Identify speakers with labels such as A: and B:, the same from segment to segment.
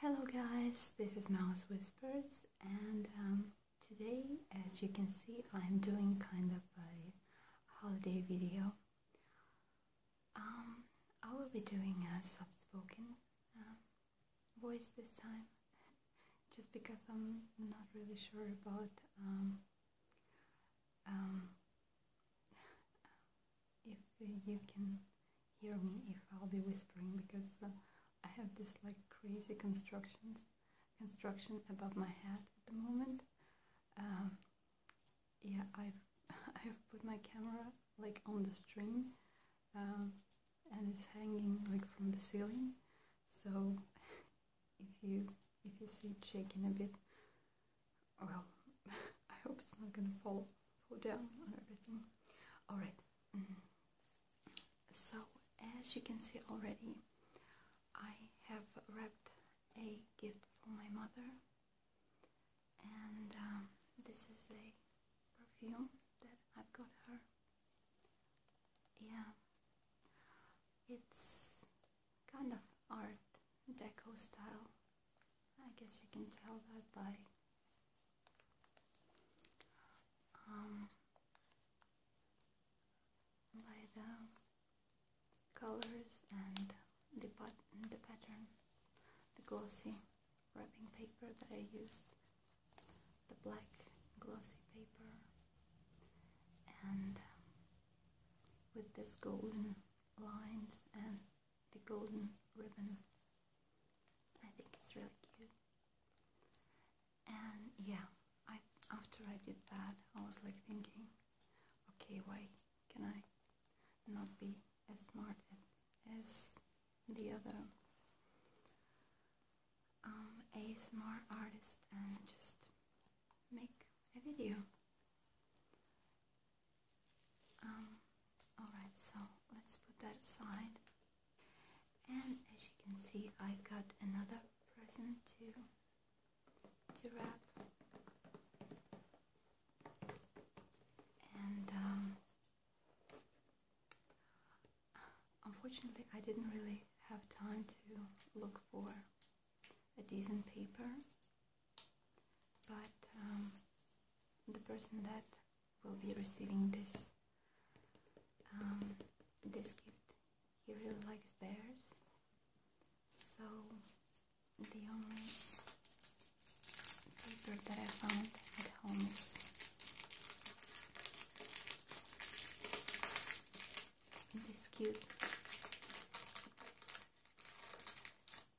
A: Hello guys, this is Mouse Whispers and um, today as you can see I'm doing kind of a holiday video. Um, I will be doing a soft-spoken um, voice this time just because I'm not really sure about if you can hear me, if I'll be whispering, because uh, I have this like crazy constructions construction above my head at the moment. Um, yeah, I've I've put my camera like on the string, um, and it's hanging like from the ceiling. So if you if you see it shaking a bit, well, I hope it's not gonna fall, fall down on everything. Alright, mm-hmm. so as you can see already, I have wrapped a gift for my mother, and um, this is a perfume that I've got her. Yeah, it's kind of art deco style I guess you can tell that by um, by the colors and the, pat the pattern, the glossy wrapping paper that I used, the black glossy paper, and with these golden lines and the golden ribbon. I think it's really cute. And yeah, after I did that, I was like thinking, okay, why can I not be as smart as the other um, A smart artist and just make a video? Um, Alright, so let's put that aside. And as you can see, I got another present to to wrap. And um, unfortunately, I didn't really have time to look for a decent paper but um, the person that will be receiving this um, this gift he really likes bears so the only paper that I found at home is this cute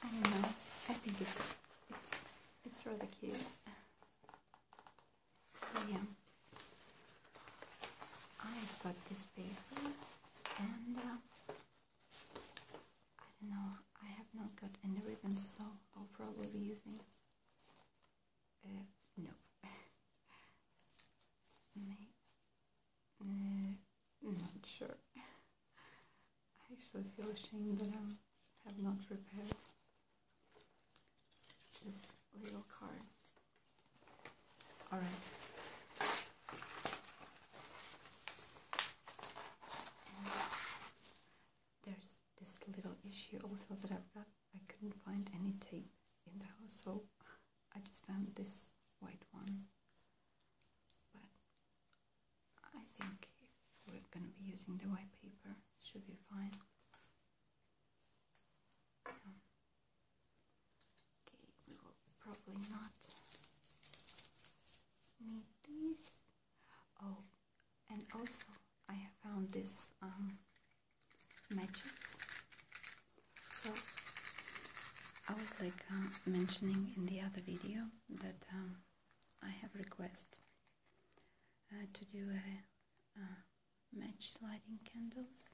A: I don't know. I think it's it's it's rather cute. So yeah, I've got this paper and uh, I don't know, I have not got any ribbon so I'll probably be using, uh, no, May uh, not sure, I actually feel ashamed that I have not prepared this little card all right. there's this little issue also that I've got. I couldn't find any tape in the house, so I just found this white one. But I think we're gonna be using the white paper, should be fine. Okay, we will probably not need these. Oh, and also I have found this um, matches. So I was like uh, mentioning in the other video that um, I have request uh, to do a match lighting candles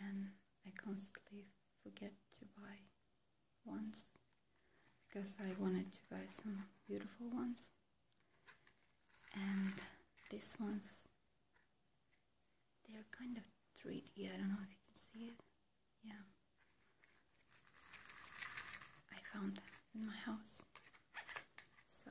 A: and I constantly forget to buy ones because I wanted to buy some beautiful ones and these ones they are kind of 3D I don't know if you can see it yeah I found in my house so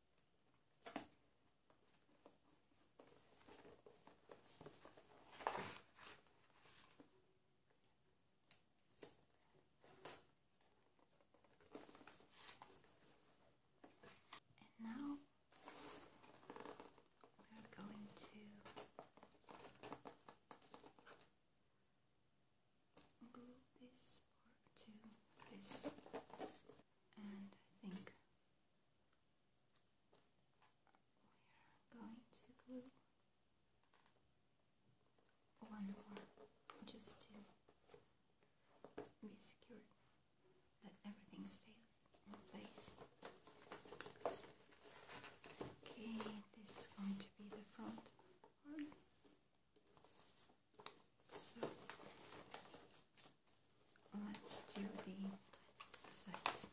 A: And now we're going to glue this part to this and I think we are going to glue one more just to be secure that everything stays in place. Okay, this is going to be the front part. So let's do the sides. Okay.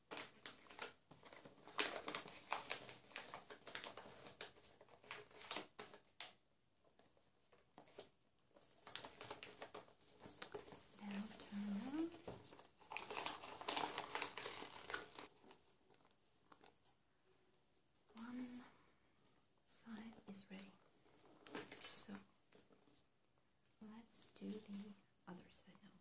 A: Now turn One side is ready. So let's do the other side now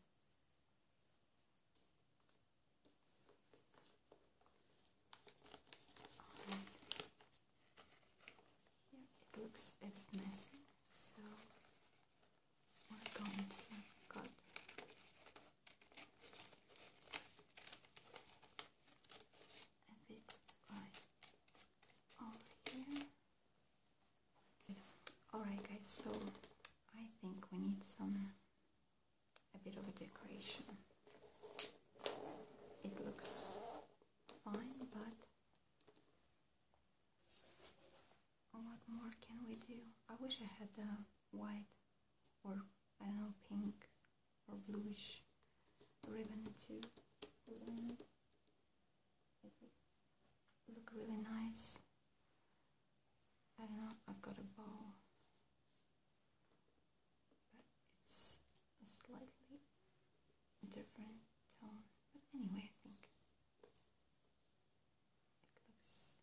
A: it looks a messy, so we're going to cut. A bit like over here. Alright, guys, so I think we need some a bit of a decoration. It looks fine, but what more can we do? I wish I had a white or I don't know, pink or bluish ribbon too. look really nice. I don't know, I've got a ball, but it's a slightly different tone. But anyway, I think it looks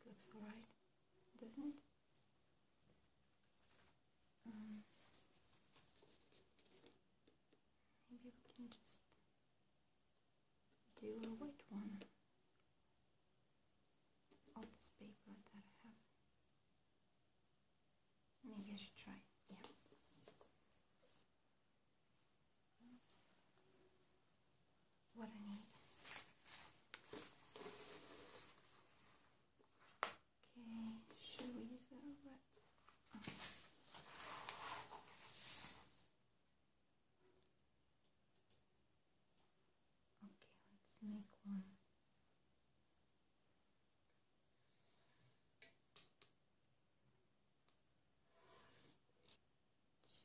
A: it looks alright, doesn't it? Um, maybe we can just do a white one of this paper that I have. Maybe I should try. Yeah. What I need. Okay, should we use that red? Okay, let's make one.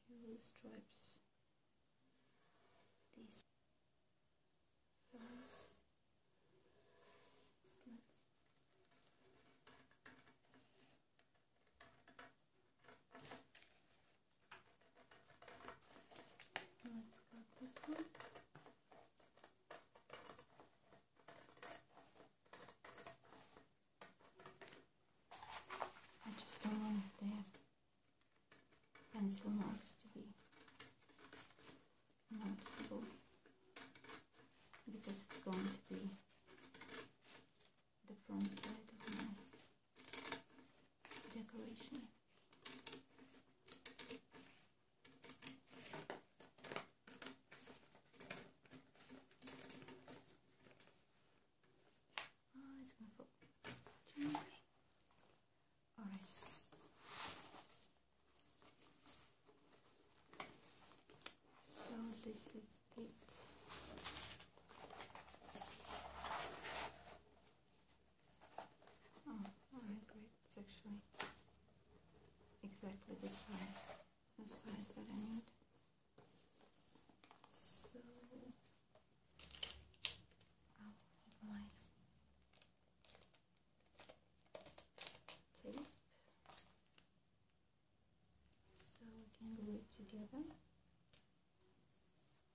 A: Two stripes. These size. I just don't want the pencil marks to be noticeable because it's going to be the front side of my decoration. Oh, All right. So this is it. Oh, alright, great. It's actually exactly the size, the size that I need. So I'll put my tape so we can glue it together.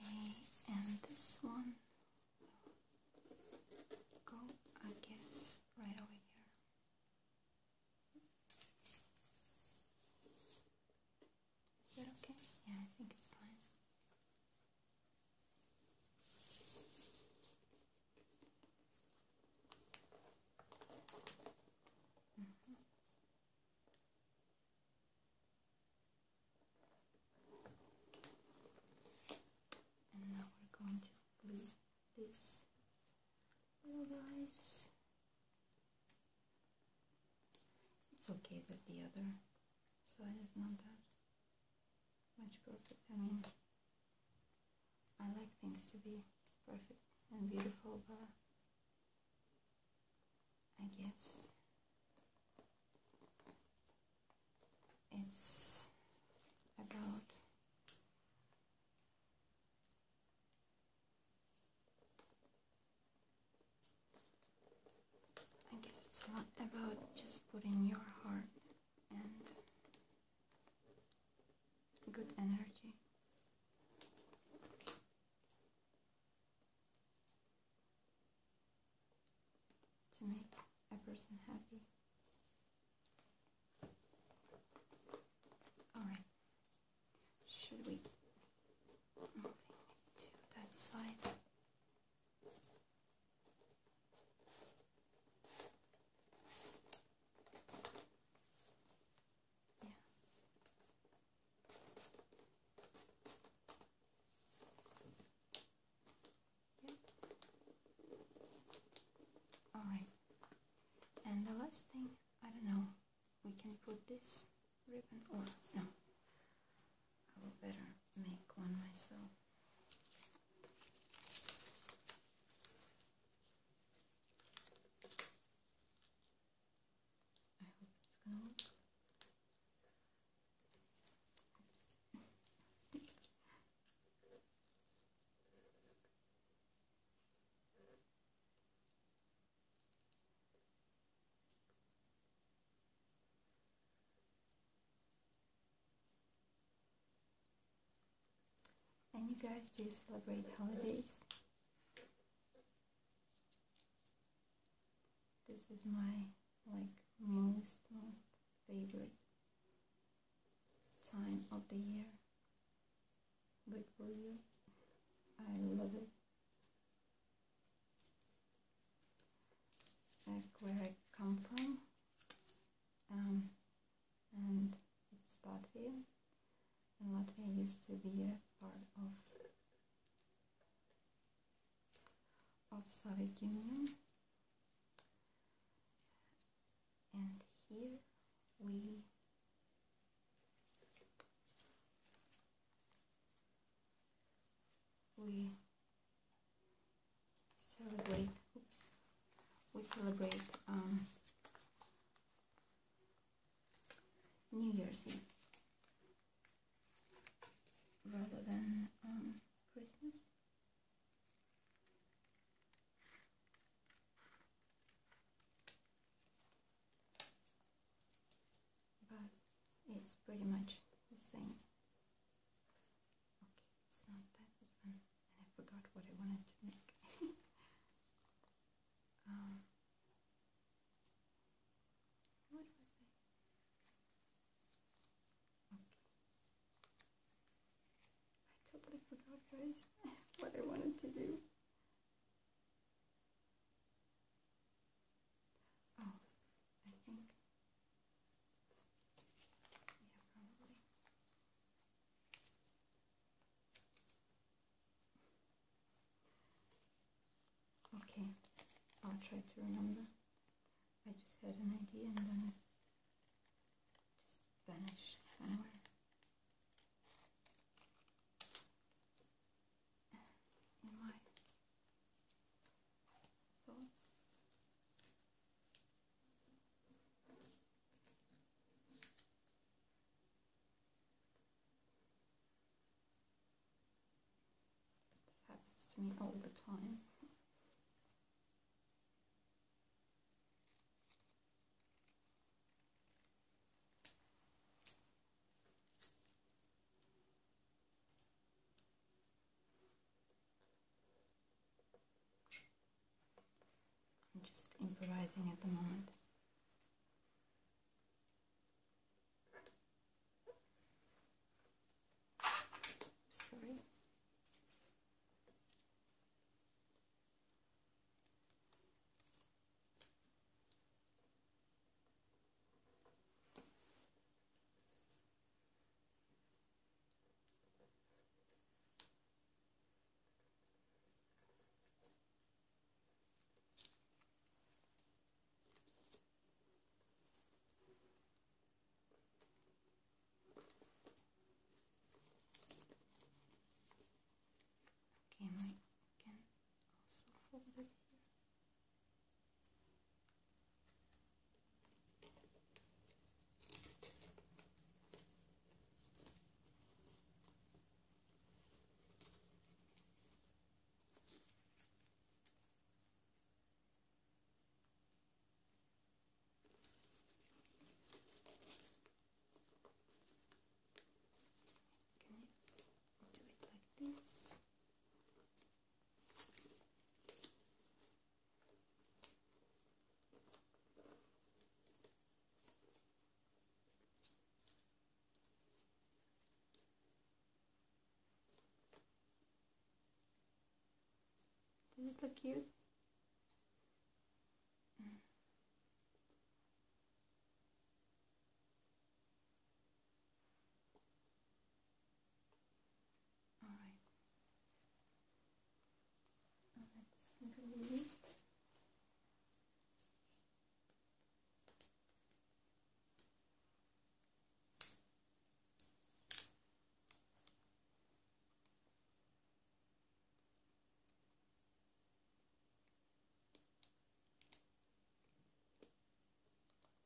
A: Okay, and this one go, I guess, right over here. Is that okay? Yeah, I think it's fine. Mm-hmm. And now we're going to glue this little guys it's okay that the other side is not that much perfect. I mean, I like things to be perfect and beautiful, but I guess it's about I guess it's not about just putting your heart and good energy. To make a person happy. Alright, should we moving to that side. Yeah. Yep. All right. And the last thing, I don't know, we can put this ribbon or oh, no I will better make one myself I hope it's gonna work and you guys, do celebrate holidays? This is my like most most favorite time of the year. Like for you. I love it like where I come from um, and it's Latvia and Latvia used to be a part of of Soviet Union and here we we celebrate oops we celebrate um, New Year's Eve rather than um, Christmas but it's pretty much the same. Okay, it's not that even, and I forgot what I wanted to make. um, what was I? Okay, I totally forgot guys what I wanted to do. Oh, I think. Yeah, probably. Okay, I'll try to remember. I just had an idea and then it just vanished somewhere in my thoughts. happens to me all the time. I'm just improvising at the moment. Sorry. Okay, my can also fold it here. Okay, do it like this. Does it look cute? All right. Let's do